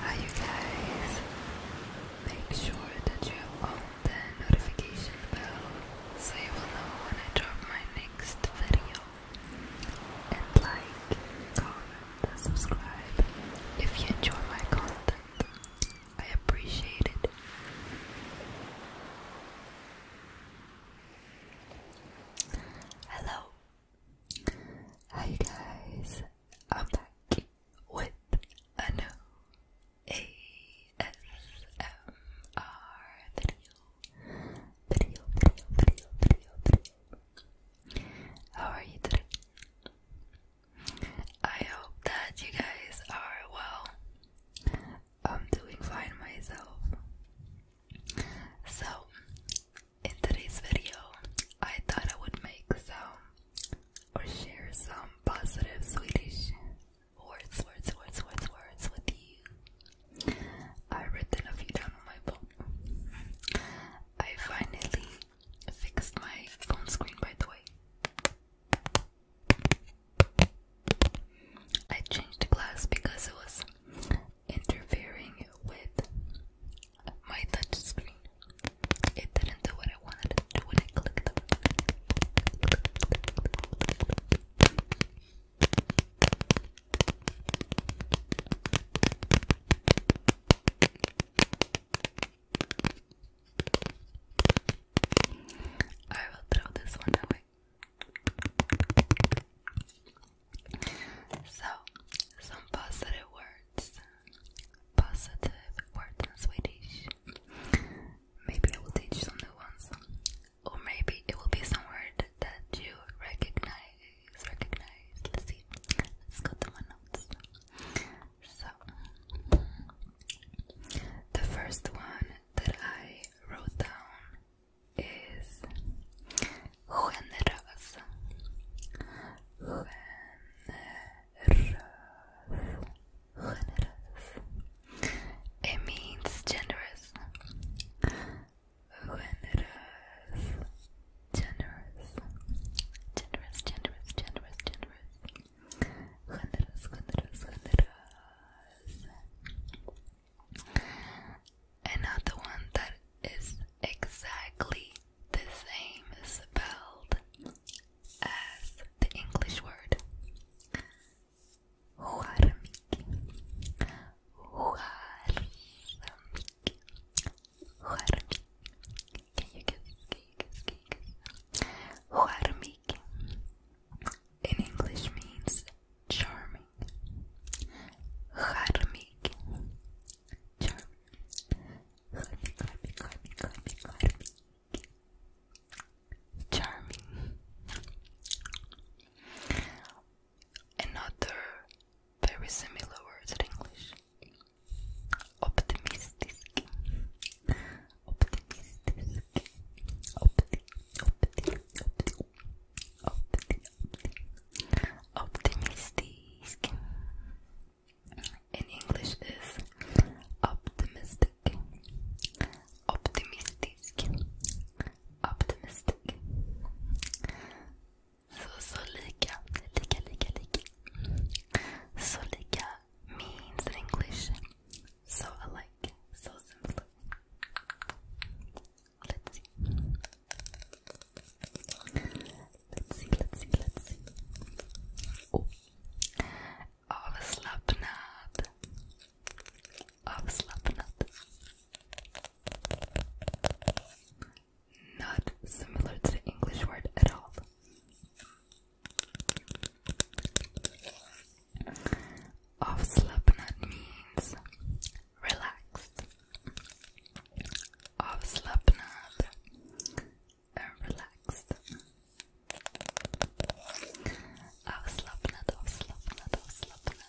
Hi you guys, make sure that you have the notification bell so you will know when I drop my next video and like, comment and subscribe if you enjoy my content, I appreciate it. Hello Hi guys, I'm back with a ASMR video. Video, video, video, video, video. How are you today? I hope that you guys are well. I'm doing fine myself. So, in today's video, I thought I would make some or share some positive Swedish words, words, words, words, words with you. I've written a few down on my phone. I finally fixed my phone screen, by the way. I changed the glass because it was interfering with my touch screen. It didn't do what I wanted to do when I clicked I will throw this one away. So, some positive words. Positive words in Swedish. Maybe I will teach some new ones. Or maybe it will be some word that you recognize. Recognize. Let's see. Let's go to my notes. So, the first one that I wrote down is generoso, generoso, generoso. It means generous, generous, generous, generous, generous, generous, generous. Generous, generous, generous. Another one that is exactly the same spelled as the English word. Huarmiki. Huarmiki. Can you guess? Can In English means charming. Harmik. Charming. Another very similar word in English. Optimistic. Optimistic. Opti, opti, optimistic in English is optimistic optimistic optimistic so, so lika lika lika lika so, lika means in English so alike so simple Let's see. Let's see, let's see, Oh. Avslappnad. Avslappnad. Not similar to the English word at all of Slipknot means relaxed. Of Slipknot and uh, relaxed. Of Slipknot, of Slipknot, of Slipknot,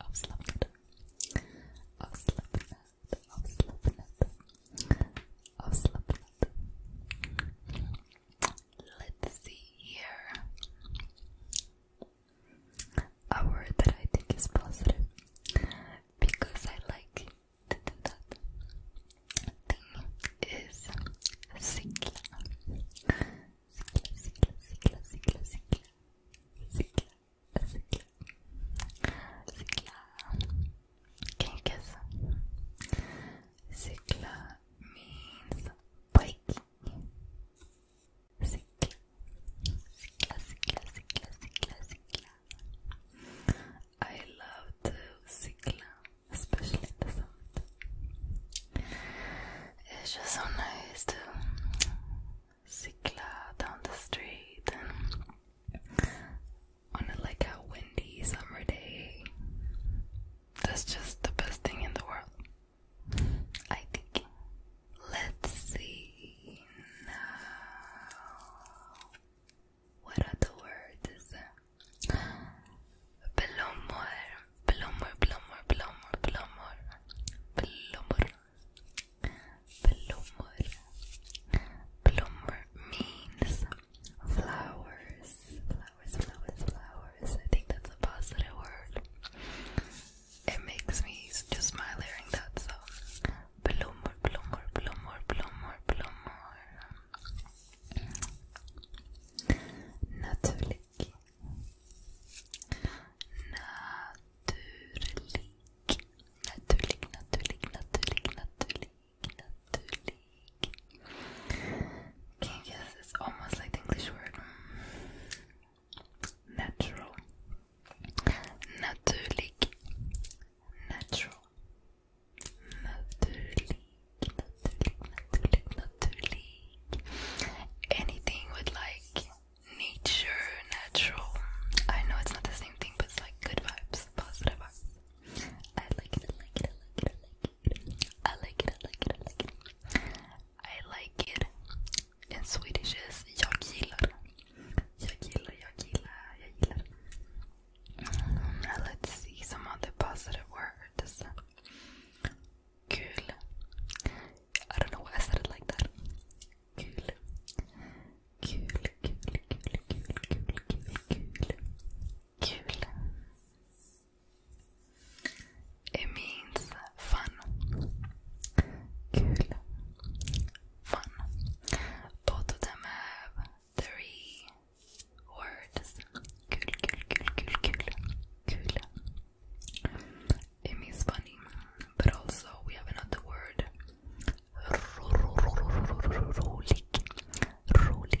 of Slipknot, of Slipknot, of Slipknot, of Slipknot let's see here. A word that I think is positive because I like that thing is cicla. Cicla, cicla, cicla, cicla, cicla, cicla, cicla, cicla. Can Sikla means biking. Sikla, Sikla, Sikla, Sikla, Sikla, Sikla. I love the Sikla, especially the sound. It's just so nice to Sikla down the street on like a windy summer day that's just the best thing in the world. I think. Let's see now. What other word is that? Plomor, plomor, plomor, plomor, plomor, plomor, plomor. means Flowers, flowers, flowers, flowers. I think that's a positive word. It makes me just smile hearing that. So, bloomer, bloomer, bloomer, bloomer, bloomer. Naturlig. Naturlig. Naturlig, naturlig, naturlig, naturlig. Can you guess? It's almost like the English word. Mm, natural. Natuurlijk. Natural. Natuurlijk. Natuurlijk. Natuurlijk. Anything with like nature, natural. I know it's not the same thing, but it's like good vibes, positive vibes. I like it, I like it, I like it, I like I like it, I like it, I like it. I like it. In Swedish is jag gillar. Jag gillar, jag gillar, jag gillar. Mm, let's see some other positive words. Kul. I don't know why I said it like that. Kul. Kul, kul, kul, kul, kul, kul, kul. Kul. It means fun. Kul. Fun. Both of them have three words. Kul, kul, kul, kul, kul. Kul. It means funny. But also we have another word. Rolig. Rolig.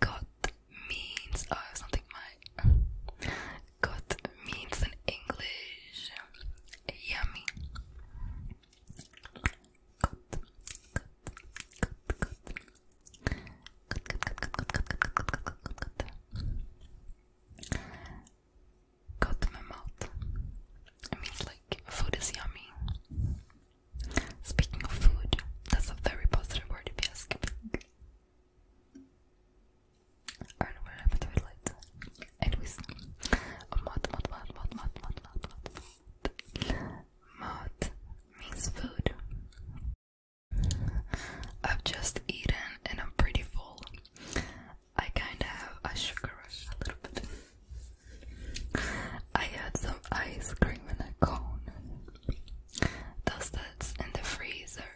Got means oh something my got means in English yummy. Go to my mouth. It means like food is yummy. Speaking of food, that's a very positive word to be asking. I don't know what happened to it later. Anyways, mat, mat, mat, mat, mat, mat, mat, mat. Mat means food. I've just eaten and I'm pretty full. I kinda have a sugar rush a little bit. I had some ice cream in a cone. Those that's in the freezer.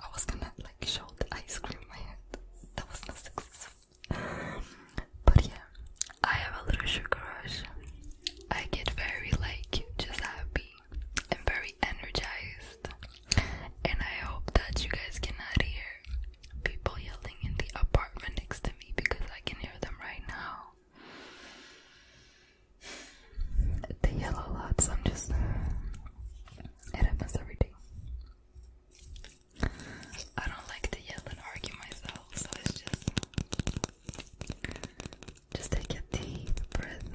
I was gonna like show the ice cream in my hand. That was not successful. But yeah, I have a little sugar rush. I get very like just happy and very energized. And I hope that you guys cannot hear people yelling in the apartment next to me because I can hear them right now. They yell a lot, so I'm just. Uh, it happens every day. I don't like to yell and argue myself, so it's just. Just take a deep breath.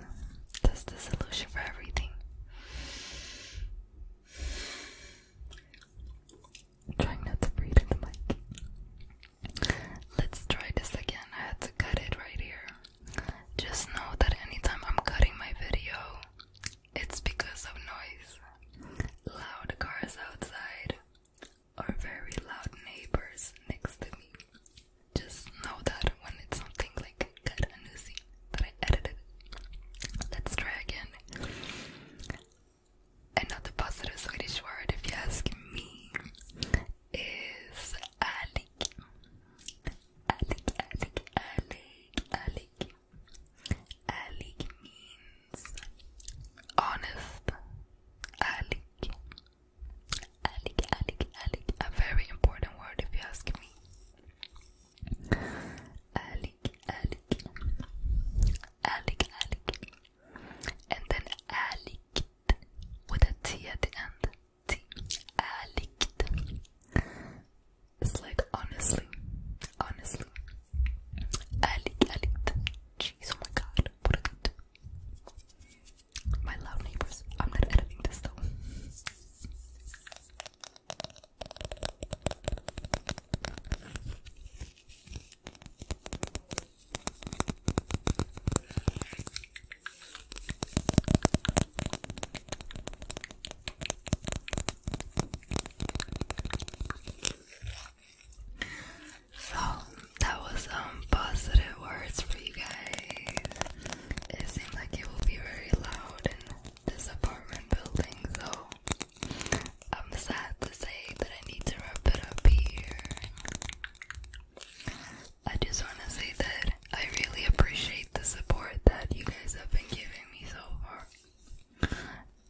That's the solution for everything i trying not to breathe in the mic. Let's try this again. I had to cut it right here. Just know that anytime I'm cutting my video, it's because of noise. Loud cars outside or very loud neighbors next to me. Just know that when it's something like that I edited. Let's try again. Another positive Swedish word, if you ask me, is alik. Alik, alik, alik, alik. Alik means honest. Alik. Alik, alik, A very important word, if you ask me. Alec, Alec, Alec, Alec, and then Alec with a T at the end. T, Alec. It's like honestly, honestly, Alec, Alec. Jeez, oh my God, what a My loud neighbors. I'm not editing this though. So that was some um, positive words for you guys. It seemed like it will be very loud this apartment building, so I'm sad to say that I need to wrap it up here. I just want to say that I really appreciate the support that you guys have been giving me so far.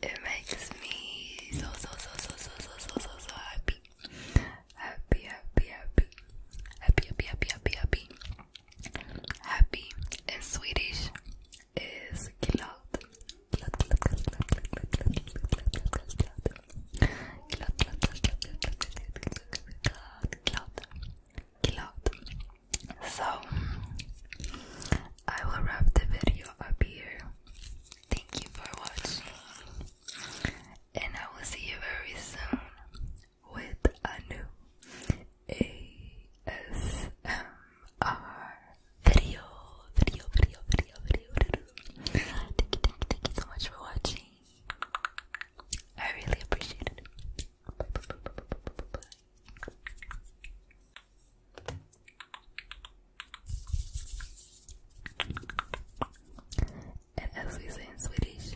It makes me so, so, so, so, so, so, so, so, so happy. Happy, happy, happy. Happy, happy, happy, happy, happy. Happy in Swedish is glad. Glad, glad, glad, glad, glad, glad, glad, glad, glad, glad, glad. So I will wrap the video up here. Thank you for watching, and I will see you very soon with a new ASMR video. Video, video, video, video, video. Thank you, thank you, thank you so much for watching. I really appreciate it. Bye, bye, bye, bye, bye, bye, bye. And as we say in Swedish